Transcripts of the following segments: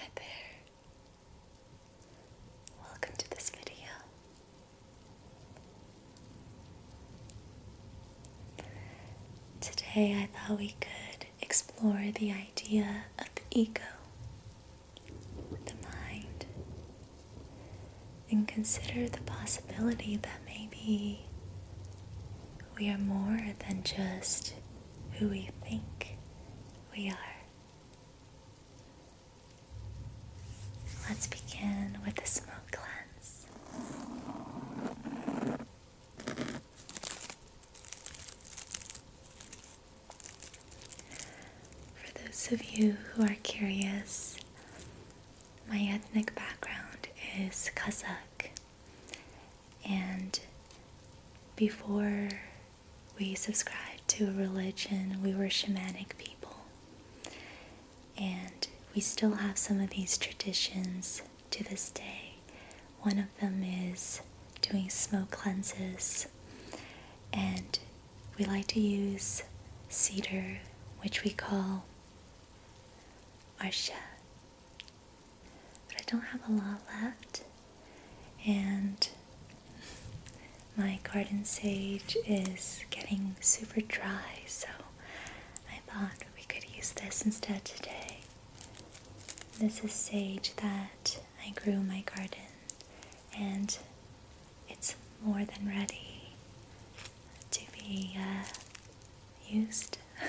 Hi there. Welcome to this video. Today I thought we could explore the idea of the ego, the mind, and consider the possibility that maybe we are more than just who we think we are. Let's begin with the smoke cleanse. For those of you who are curious, my ethnic background is Kazakh, and before we subscribed to a religion, we were shamanic people. And we still have some of these traditions to this day. One of them is doing smoke cleanses, and we like to use cedar, which we call arsha but I don't have a lot left. And my garden sage is getting super dry, so I thought we could use this instead today. This is sage that I grew in my garden, and it's more than ready to be uh, used.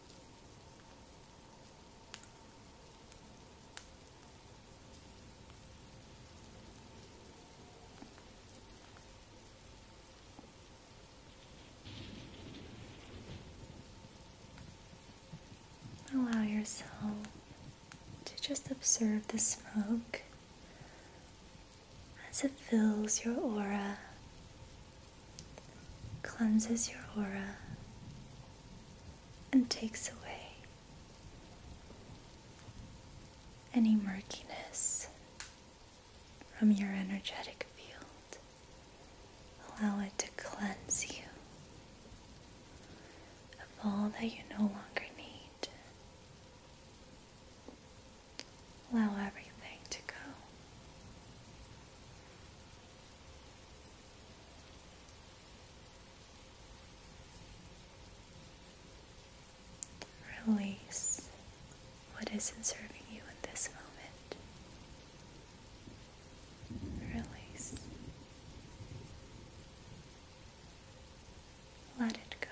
Allow yourself to just observe the smoke as it fills your aura cleanses your aura and takes away any murkiness from your energetic field. Allow it to cleanse you of all that you no longer need. Allow everything to go. Release what isn't serving you in this moment. Release. Let it go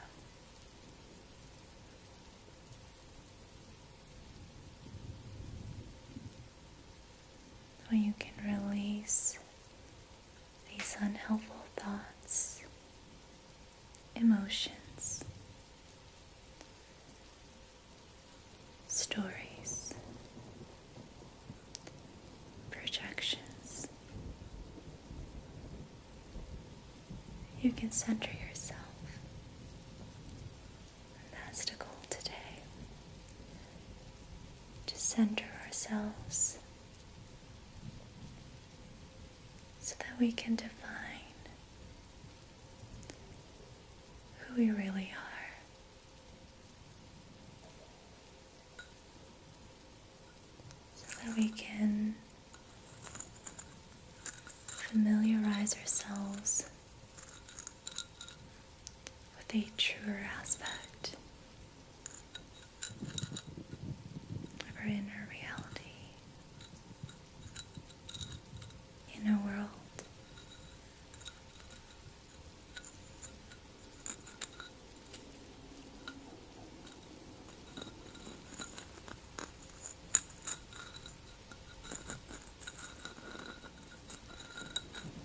where you can release these unhelpful thoughts, emotions, stories, projections. You can center yourself that's the goal today to center ourselves so that we can define who we really are, so that we can familiarize ourselves with a truer aspect our inner reality in world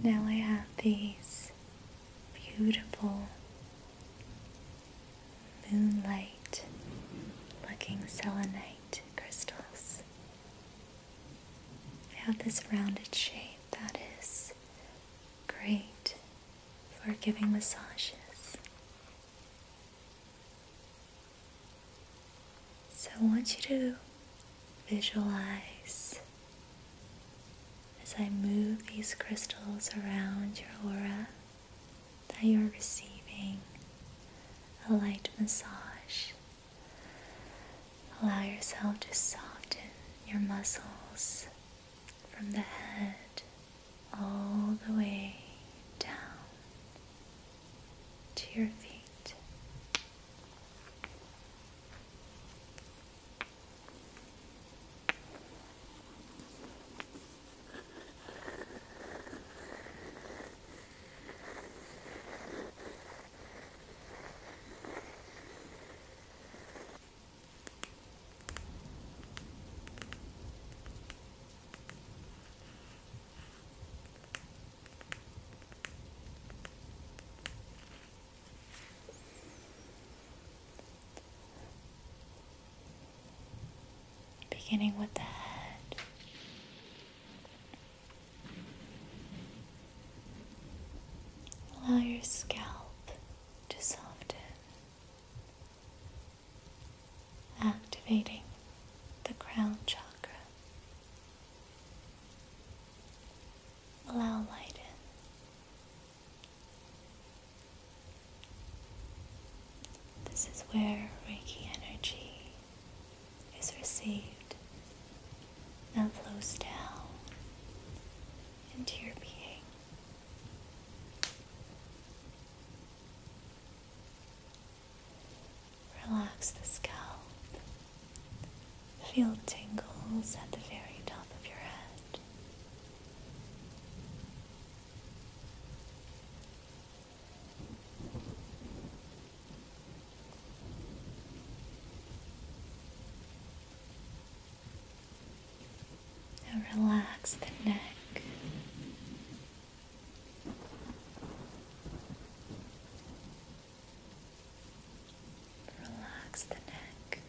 Now I have these beautiful moonlight looking selenite crystals. Have this rounded shape that is great for giving massages. So I want you to visualize as I move these crystals around your aura that you're receiving a light massage Allow yourself to soften your muscles from the head all the way down to your feet. Beginning with the head, Allow your scalp to soften, activating the crown chakra. Allow light in. This is where Reiki energy is received and flows down into your being. Relax the scalp. Feel tingles at the very top of your head relax the neck. Relax the neck.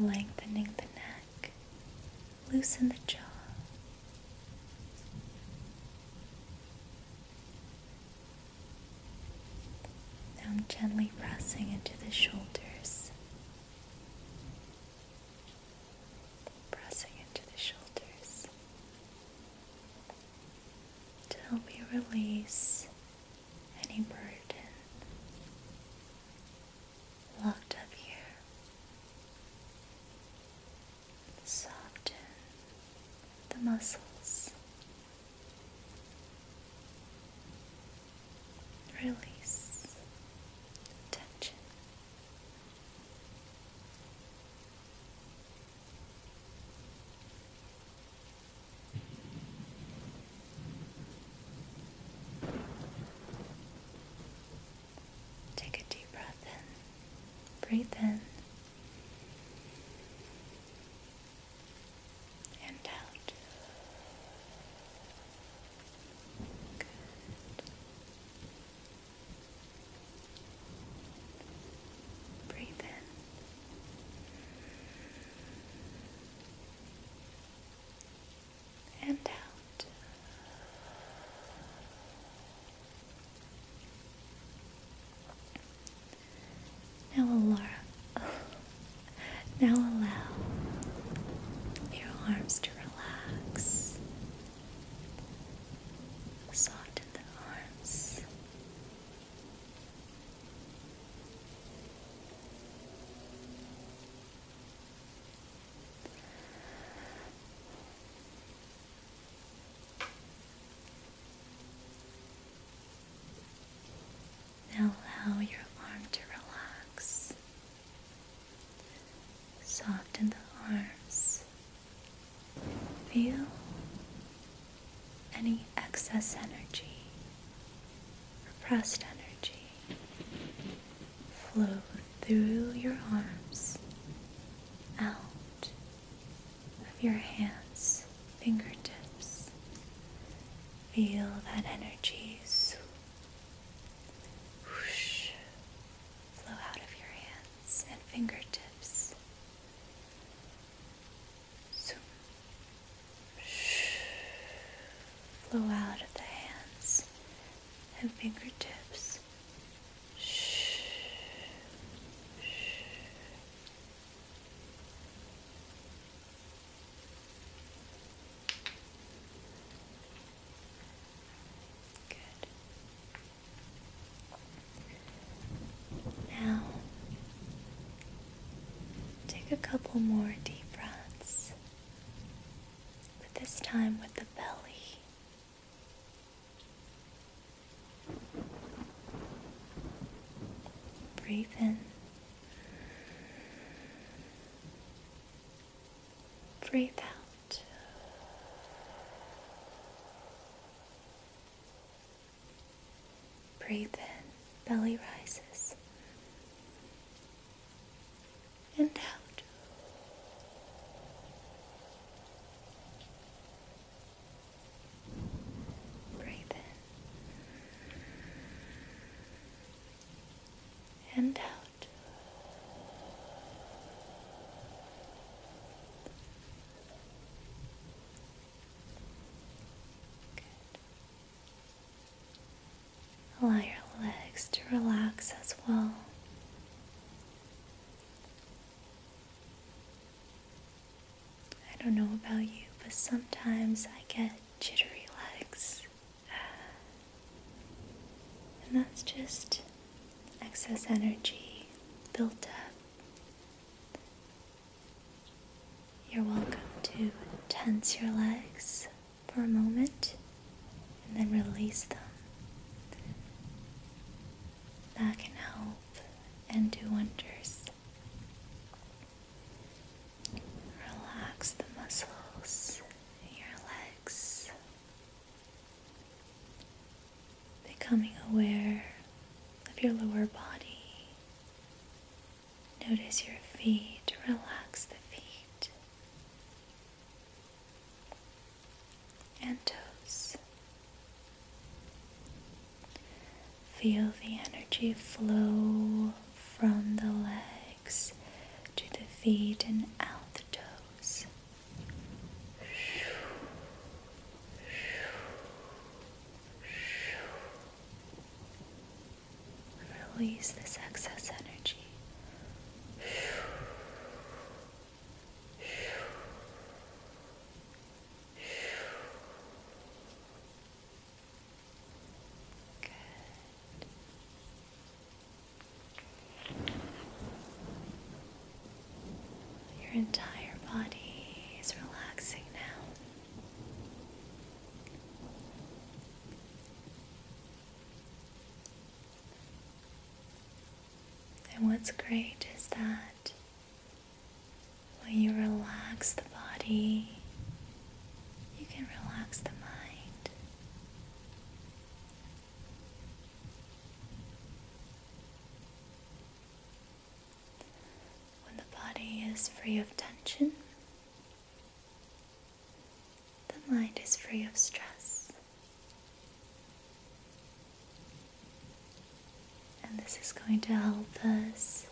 Lengthening the neck loosen the jaw. Now I'm gently pressing into the shoulders, pressing into the shoulders to help you release any burden locked up here. Soften the muscles. Release tension. Take a deep breath in. Breathe in. And out. Good. Breathe in and out. Now allow, now allow your arms to relax. Soften the arms. Now allow your arm to relax. Soften the arms. Feel any excess energy, repressed energy flow through your arms, out of your hands, fingertips. Feel that energy whoosh, flow out of your hands and fingertips. Flow out of the hands and fingertips. Shh. Shh. Good. Now, take a couple more deep breaths but this time with the belly. Breathe in. Breathe out. Breathe in, belly rises and out. Breathe in and out. Good. Allow your legs to relax as well. I don't know about you, but sometimes I get jittery legs. And that's just excess energy built up. You're welcome to tense your legs for a moment and then release them. That can help and do wonders. Relax the muscles in your legs, becoming aware of your lower body. Notice your feet, relax the feet and toes. Feel the energy flow from the legs to the feet and out the toes. Release this excess energy. Good. Your entire body is relaxing now. And what's great is that when you relax the body, you can relax the mind. When the body is free of tension, the mind is free of stress. And this is going to help us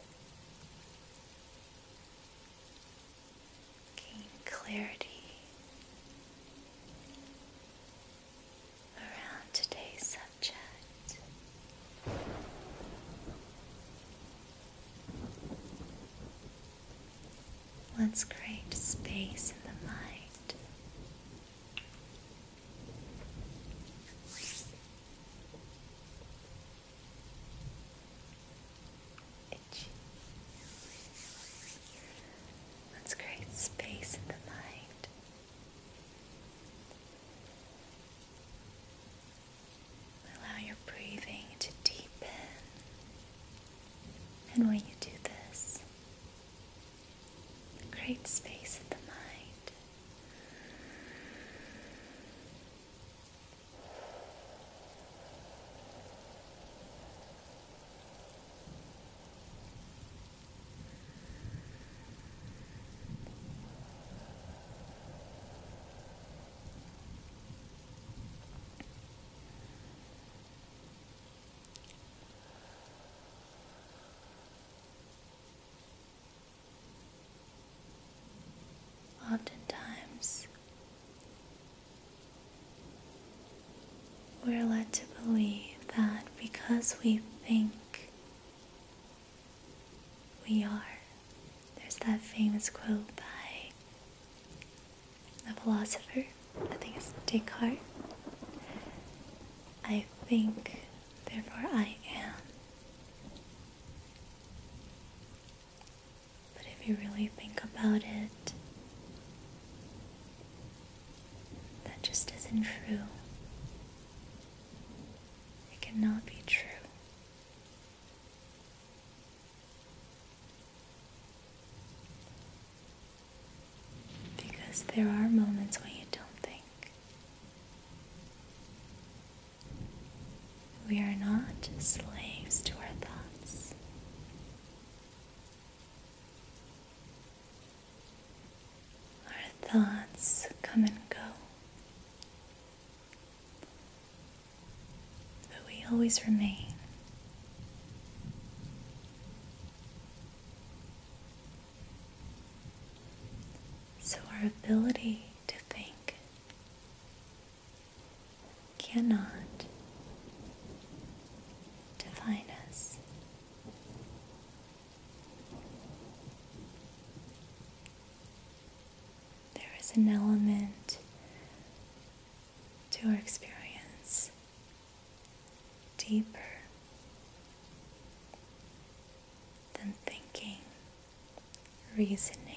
gain clarity around today's subject. Let's create space in the mind. Itch. Let's create space in the mind. Allow your breathing to deepen. And when you do this, create space in the mind. Oftentimes, we're led to believe that because we think we are, there's that famous quote by a philosopher, I think it's Descartes. I think, therefore I am. But if you really think about it, that just isn't true. It cannot be true. Because there are moments when you don't think. We are not slaves to our thoughts. Our thoughts come and go. But we always remain. So, our ability to think cannot define us. There is an element to our experience deeper than thinking, reasoning,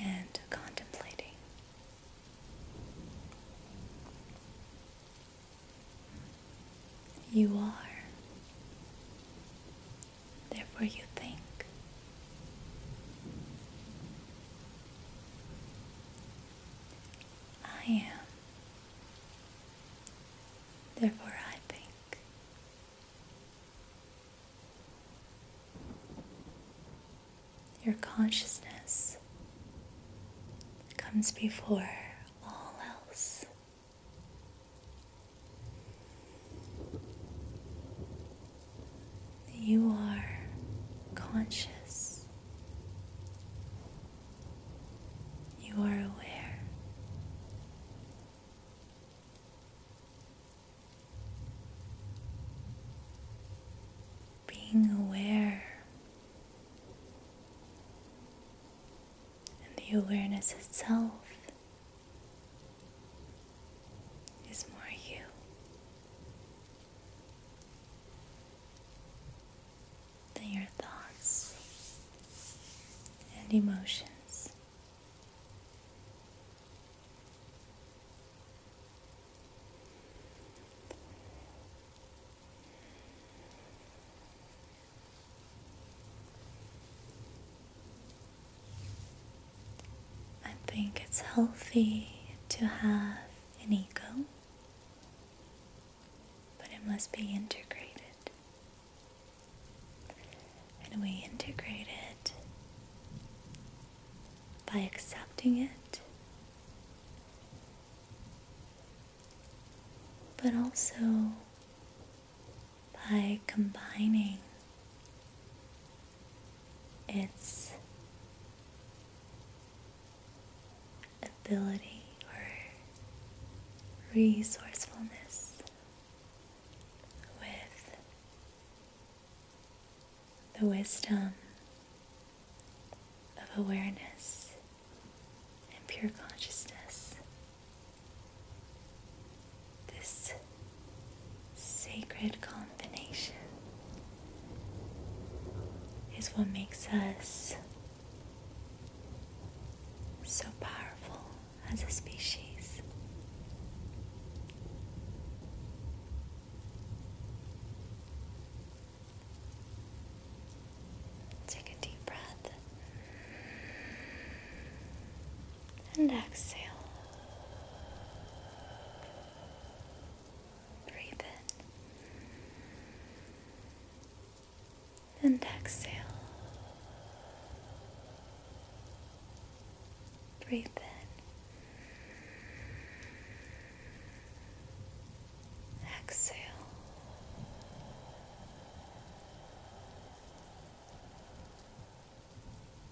and contemplating. You are Therefore, you think. I am. Therefore, I think. Your consciousness comes before all else. You are conscious. You are aware. Being aware, and the awareness itself is more you. Than your thoughts and emotions. I think it's healthy to have an ego, but it must be integrated. And we integrate it by accepting it, but also by combining its ability or resourcefulness with the wisdom of awareness and pure consciousness this sacred combination is what makes us so powerful as a species. Take a deep breath and exhale. Breathe in and exhale. Breathe in. Exhale.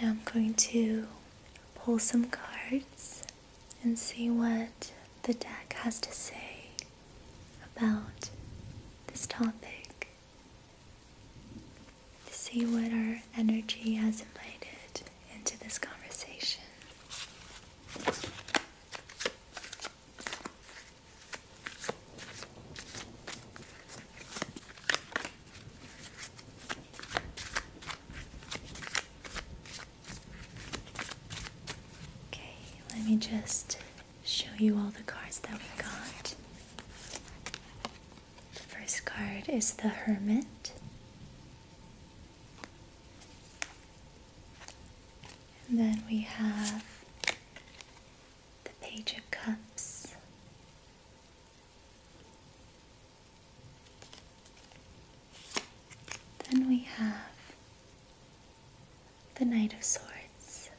Now I'm going to pull some cards and see what the deck has to say about this topic. To see what our energy has invited into this conversation. Okay, let me just show you all the cards that we got. The first card is the Hermit. And then we have the Page of Cups, then we have the Knight of Swords.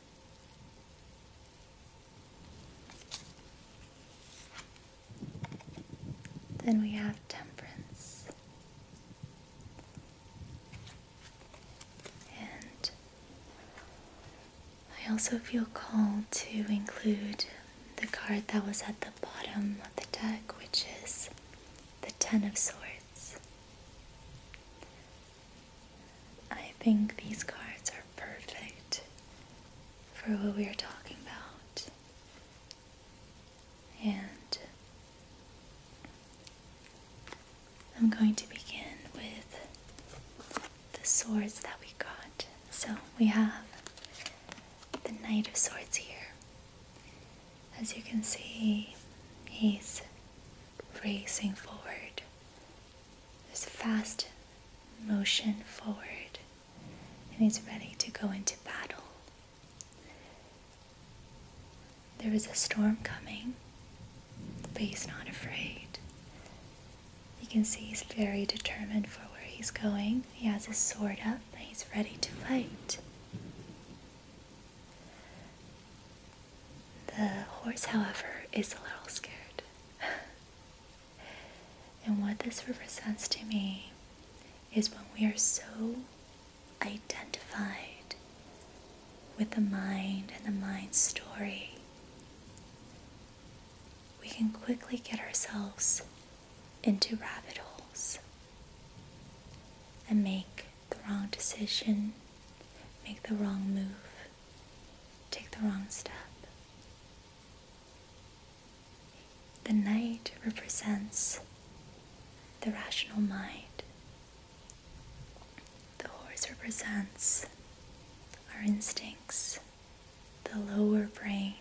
Then we have Temperance. And I also feel called to include the card that was at the bottom of the deck, which is the Ten of Swords. I think these cards are perfect for what we are talking about. And I'm going to begin with the swords that we got. So we have the Knight of Swords here. As you can see, he's racing forward. There's fast motion forward, and he's ready to go into battle. There is a storm coming, but he's not afraid. You can see he's very determined for where he's going. He has his sword up and he's ready to fight. The horse, however, is a little scared. and what this represents to me is when we are so identified with the mind and the mind's story we can quickly get ourselves into rabbit holes and make the wrong decision, make the wrong move, take the wrong step. The night represents the rational mind. The horse represents our instincts the lower brain,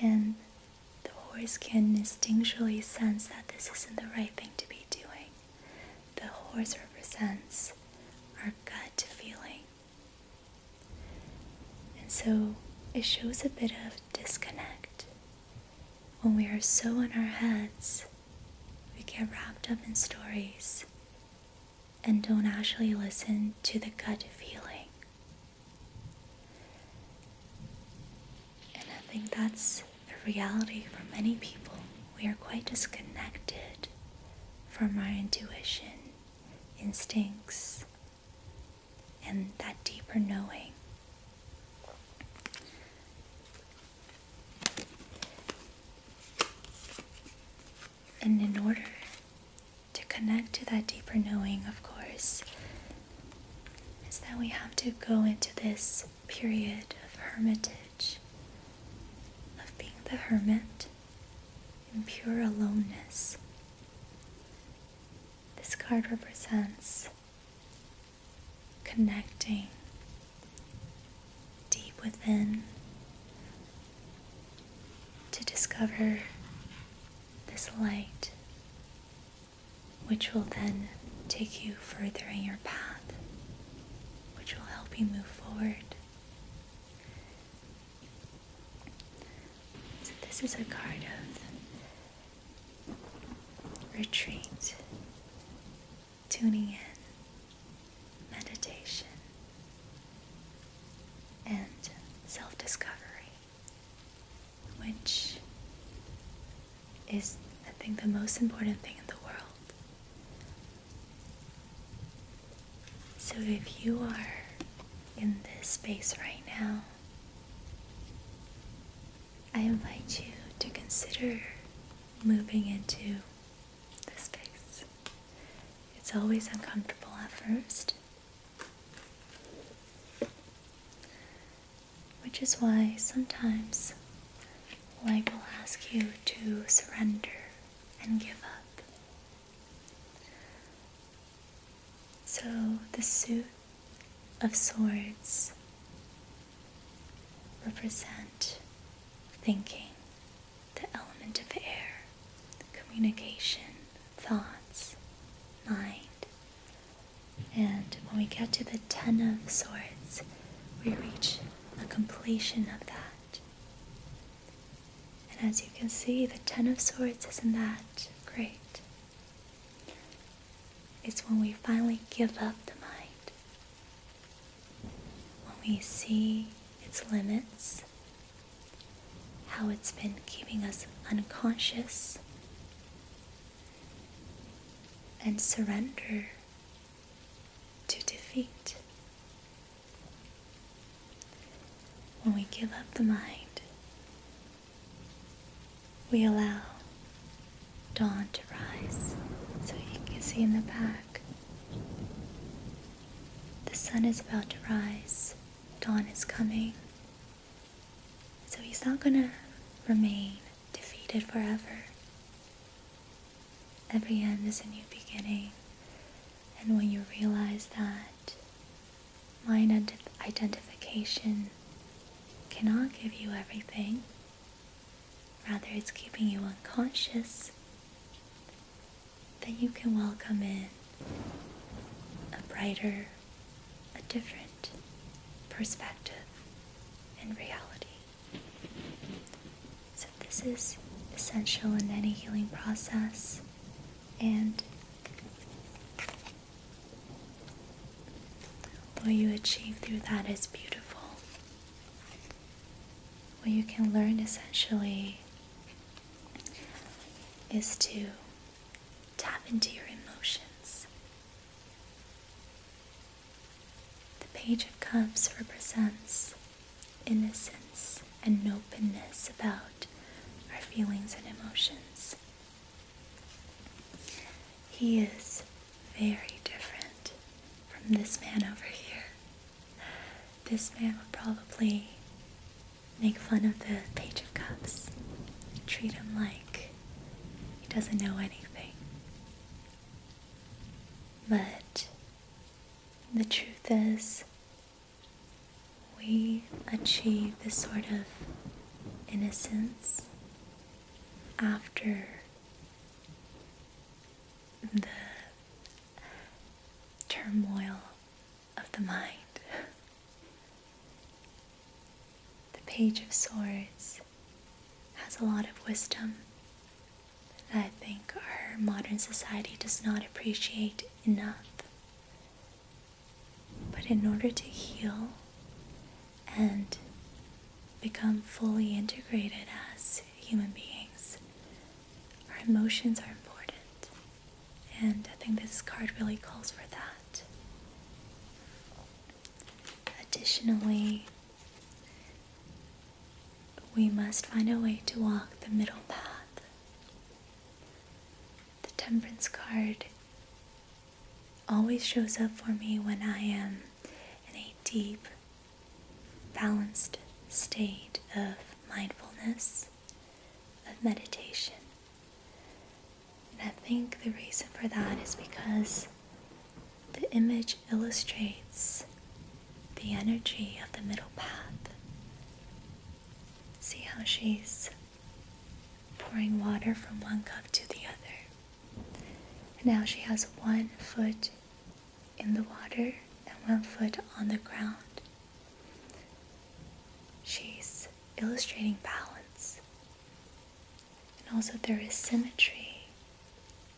and the horse can instinctually sense that this isn't the right thing to be doing. The horse represents our gut feeling. And so it shows a bit of disconnect. When we are so in our heads, we get wrapped up in stories and don't actually listen to the gut feeling. And I think that's the reality for many people. We are quite disconnected from our intuition, instincts, and that deeper knowing. And in order to connect to that deeper knowing, of course, is that we have to go into this period of hermitage, of being the hermit in pure aloneness. This card represents connecting deep within to discover this light, which will then take you further in your path, which will help you move forward. So, this is a card of retreat, tuning in meditation, and self discovery, which is, I think, the most important thing in the world. So if you are in this space right now, I invite you to consider moving into this space it's always uncomfortable at first, which is why sometimes life will ask you to surrender and give up. So, the suit of swords represent thinking the element of air, communication, thoughts, mind. And when we get to the Ten of Swords, we reach a completion of that. And as you can see, the Ten of Swords isn't that great. It's when we finally give up the mind, when we see its limits, how it's been keeping us unconscious and surrender to defeat. When we give up the mind, we allow dawn to rise. So you can see in the back the sun is about to rise, dawn is coming. So he's not going to remain defeated forever. Every end is a new beginning. And when you realize that mind identification cannot give you everything, rather, it's keeping you unconscious, that you can welcome in a brighter, a different perspective in reality. So, this is essential in any healing process, and what you achieve through that is beautiful. What you can learn essentially is to tap into your emotions. The Page of Cups represents innocence and openness about our feelings and emotions. He is very different from this man over here. This man would probably make fun of the Page of Cups, treat him like he doesn't know anything. But the truth is, we achieve this sort of innocence after the turmoil of the mind. The Page of Swords has a lot of wisdom that I think our modern society does not appreciate enough. But in order to heal and become fully integrated as human beings, our emotions are important. And I think this card really calls for that. Additionally, we must find a way to walk the middle path. The Temperance card always shows up for me when I am in a deep, balanced state of mindfulness, of meditation. And I think the reason for that is because the image illustrates the energy of the middle path. See how she's pouring water from one cup to the other. now she has one foot in the water and one foot on the ground. She's illustrating balance. And also, there is symmetry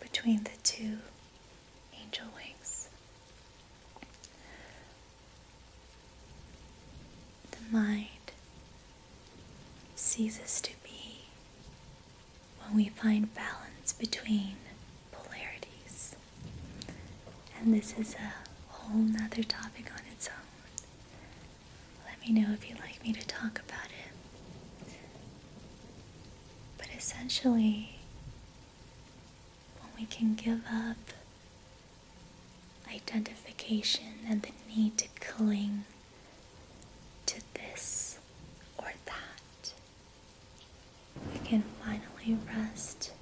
between the two angel wings. The mind ceases to be when we find balance between polarities. And this is a whole other topic on its own. Let me know if you'd like me to talk about it. But essentially, when we can give up identification and the need to cling to this or that, we can finally rest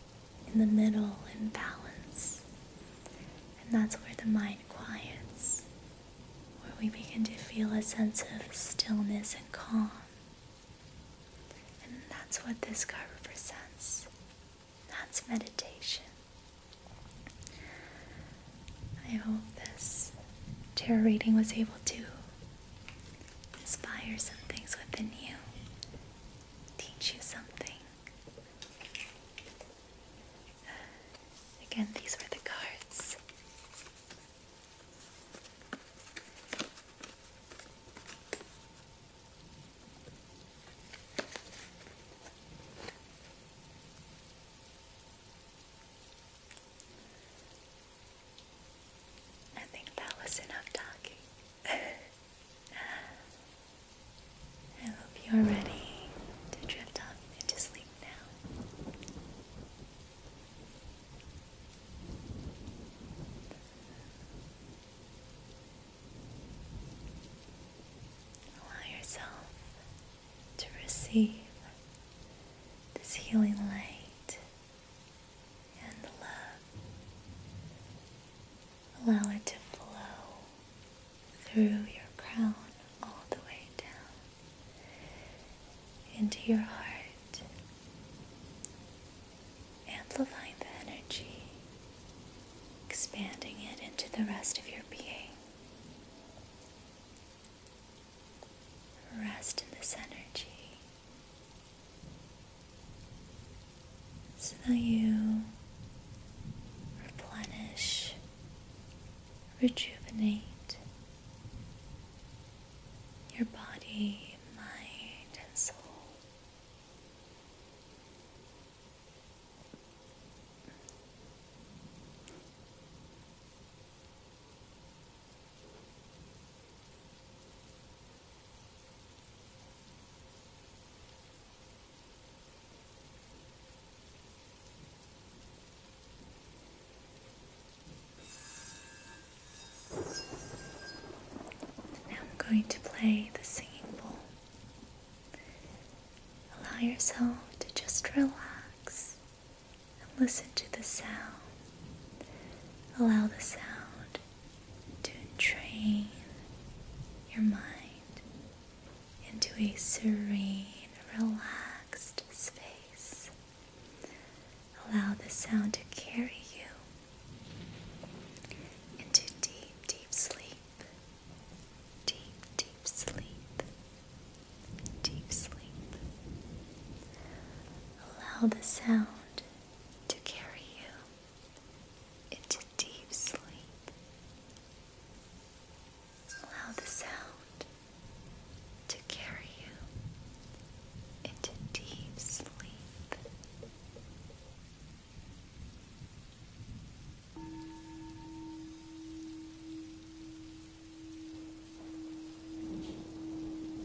in the middle and balance. And that's where the mind quiets, where we begin to feel a sense of stillness and calm. And that's what this card represents. That's meditation. I hope this tarot reading was able to inspire some things within you, teach you something. Again, these were the cards. I think that was enough talking. I hope you're ready to drift off into sleep now. Allow yourself to receive this healing light and love. Allow it to flow through your crown all the way down into your heart, amplifying the energy, expanding it into the rest of your being. Rest in this energy so that you replenish, rejuvenate your body, mind, and soul. Now I'm going to play the singing bowl. Allow yourself to just relax and listen to the sound. Allow the sound to train your mind into a serene, relaxed space. Allow the sound to carry you into deep, deep sleep. Deep, deep sleep. Deep sleep. Allow the sound to carry you into deep sleep. Allow the sound to carry you into deep sleep.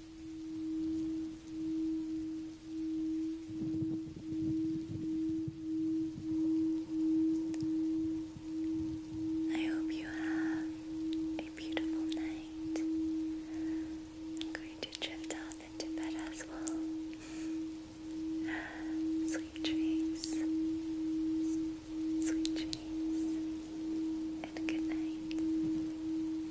I hope you have a beautiful night. I'm going to drift off into bed as well. Sweet dreams. Sweet dreams. And good night.